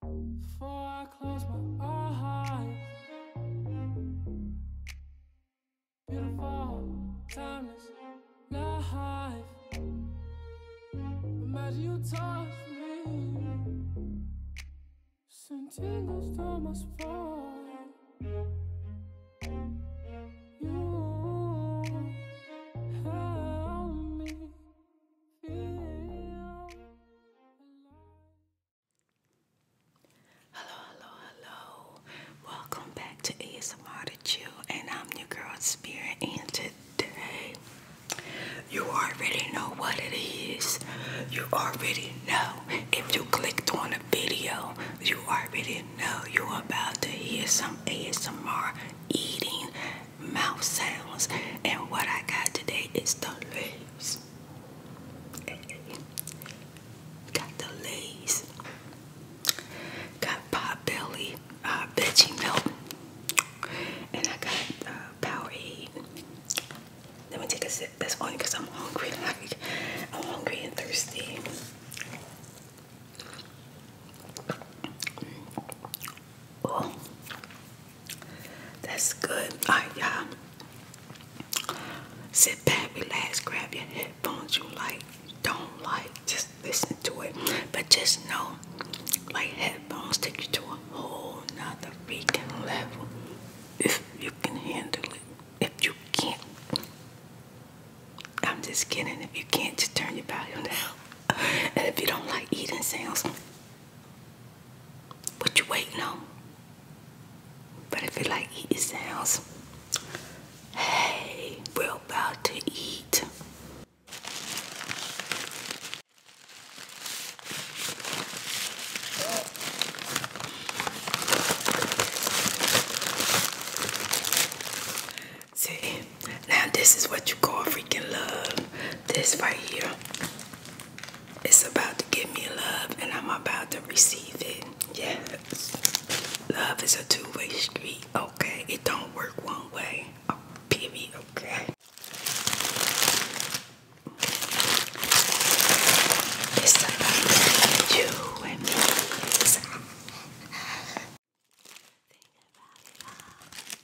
Before I close my eyes Beautiful, timeless life Imagine you touch me Send tingles down my spine You help me Hello, hello, hello. Welcome back to ASMR to Chill, and I'm your girl Spirit. And today, you already know what it is. You already know. If you clicked on the video, you already know you're about to hear some ASMR eating mouth sounds. And what I got today is the leaves. Got the leaves. Got potbelly, uh, veggie milk. And I got uh, Powerade. Let me take a sip. That's only I'm hungry. Like, I'm hungry and thirsty. Oh. That's good. All right, y'all. Sit back, relax, grab your headphones you like, don't like, just listen to it. But just know, like headphones take you to a whole nother freaking level if you can handle it. If you can't, I'm just kidding. If you can't, just turn your volume down. And if you don't like eating sounds, what you waiting on? But if you like eating sounds, hey, we're about to eat. See, now this is what you call freaking love. This right here. It's about to give me love and I'm about to receive it. Yes. Love is a two-way street, okay? It don't work one way. Oh, period, okay? It's about you and me. Think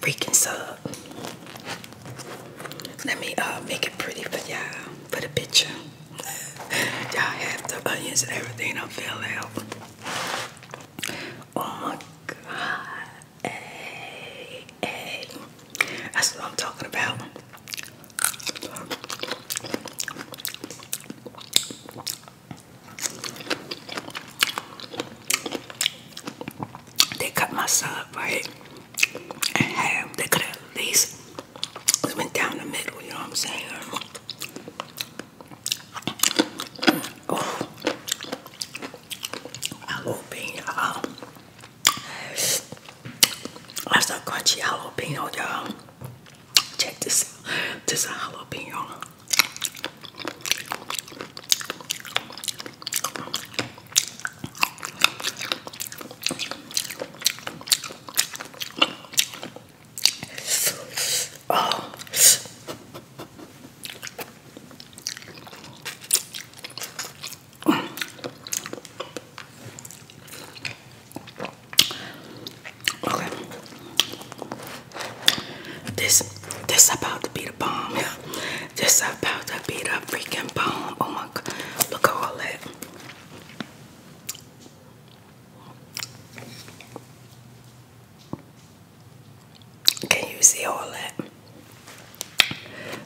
freaking sub. Let me uh, make it pretty for y'all, for the picture. y'all have the onions and everything I fell out. Oh my God. Hey, hey. That's what I'm talking about. They cut my sub, right? and have they could at least went down the middle, you know what I'm saying? Oh, jalapeno. That's a crunchy jalapeno, y'all. Check this This is a jalapeno. Oh. Okay. This this about to be the bomb. This about to beat the freaking bone. Oh my god, look at all that. Can you see all that?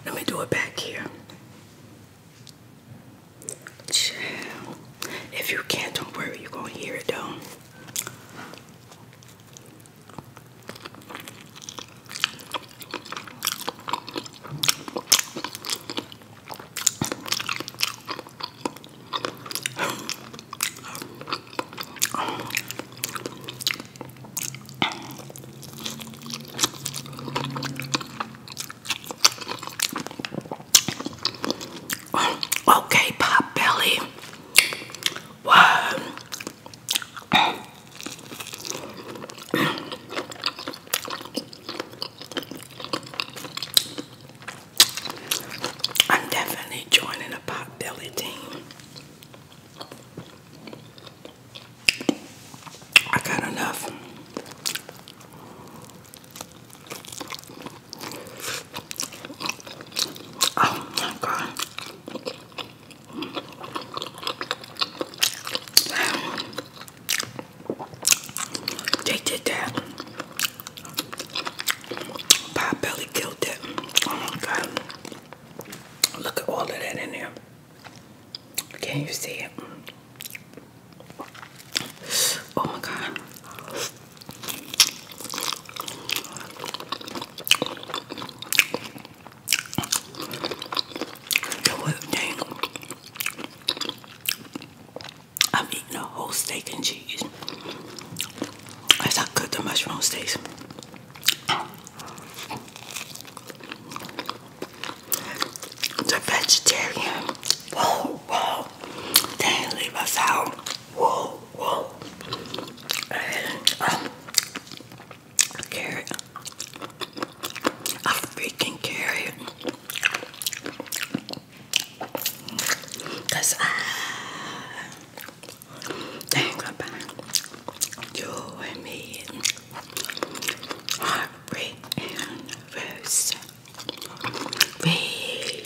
Let me do it back here. If you can't, don't worry, you gonna hear it though. Okay, Pop Belly. Well, I'm definitely joining the pot belly team. I got enough. Oh my god. They did that. Pop belly killed it. Oh my god. Look at all of that in there. Can you see it? Oh my god. The I'm eating a whole steak and cheese That's how good the mushroom steaks. The vegetarian. Whoa, whoa. They leave us out. Whoa, whoa. Um, carrot. A freaking carrot. Cause I think about you and me. Heartbreak anniversary. We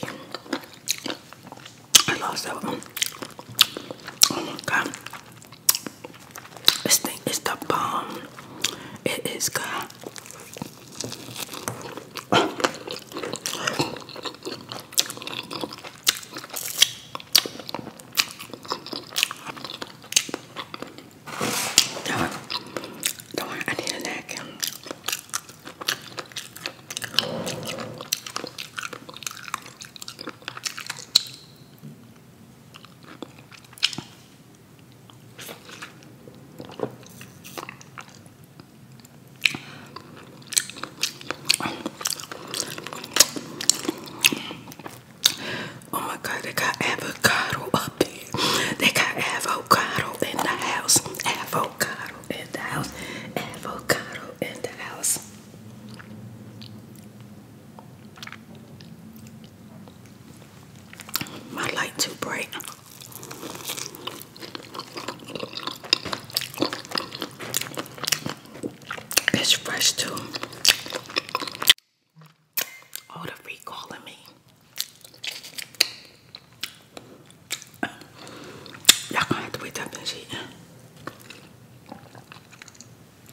I lost that one. Oh my god. This thing is the bomb. It is good. Don't, don't, I need a napkin. Oh my god, they got avocado up here. They got avocado in the house. Avocado in the house. Avocado in the house. My light too bright. It's fresh too. Oh, the recalling me. Y'all gonna have to wait up and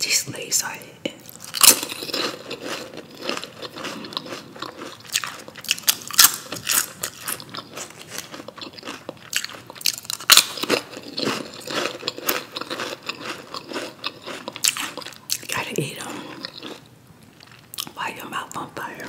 These lays are Gotta eat them while your mouth on fire.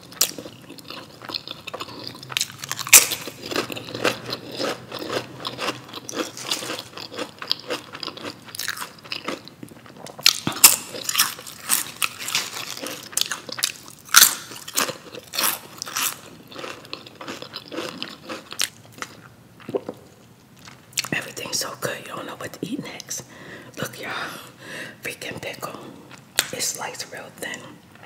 Everything's so good, you don't know what to eat next. Look, y'all, freaking pickle. It's sliced real thin.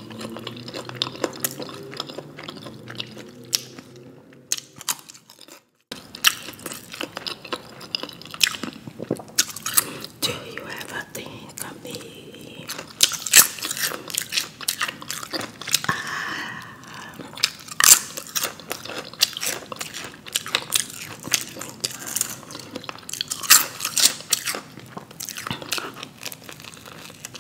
Do you ever think of me?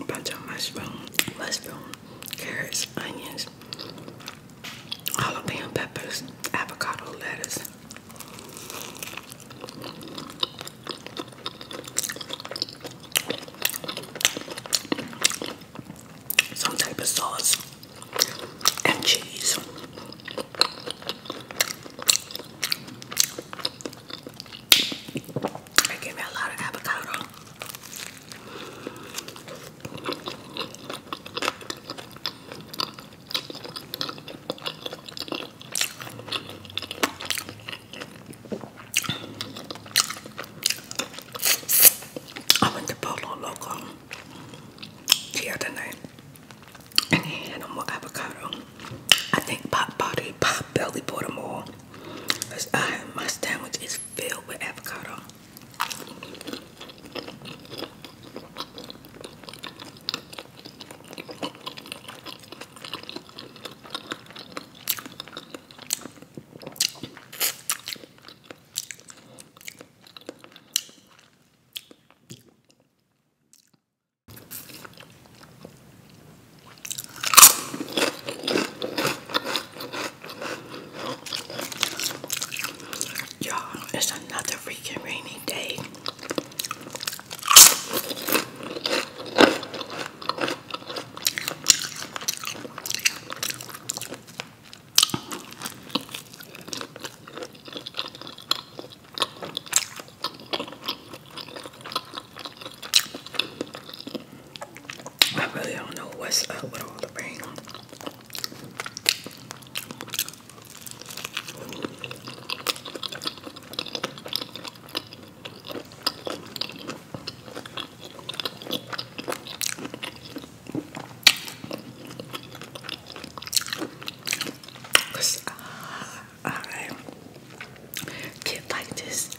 a bunch of mushrooms, mushroom, carrots, onions, jalapeno peppers, avocado lettuce. Some type of sauce and cheese. I gave me a lot of avocado. I went to Polo Local the tonight, and he had no more avocado. I think Pop Body, Pop Belly bought them all. Cause my sandwich is filled with avocado. Y'all, it's another freaking rainy day. I really don't know what's up with all the rain. Cause uh, I get like this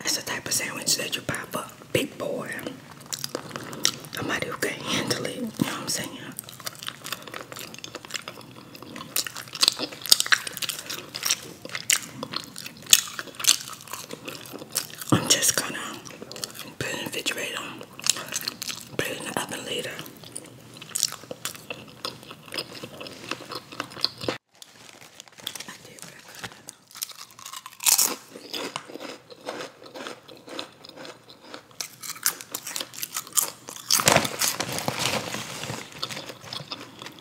That's the type of sandwich that you pop for a big boy. Somebody who can handle it, you know what I'm saying? I'm just gonna put it in the refrigerator, put it in the oven later.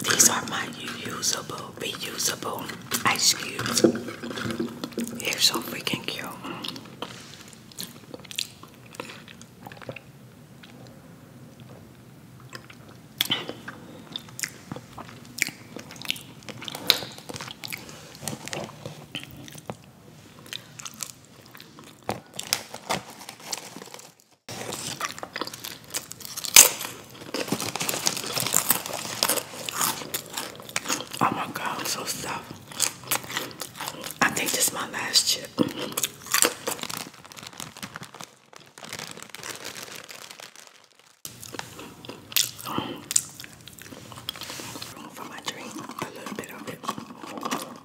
These are my reusable, reusable ice cubes. They're so freaking cute. Oh my god, i so stuffed. I think this is my last chip. Mm-hmm. for my drink, a little bit of it.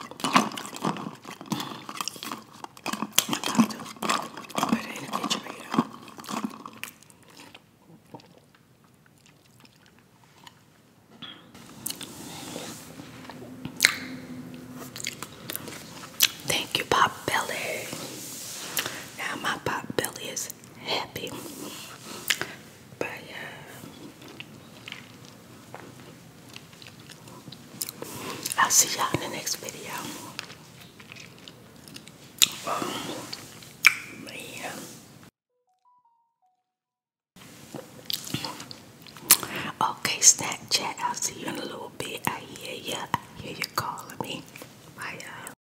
Thank you, Pop Belly. Now my Pop Belly is happy. But yeah. Uh, I'll see y'all in the next video. Oh, man. Okay, Snapchat. I'll see you in a little bit. I hear you. I hear you calling me. Bye,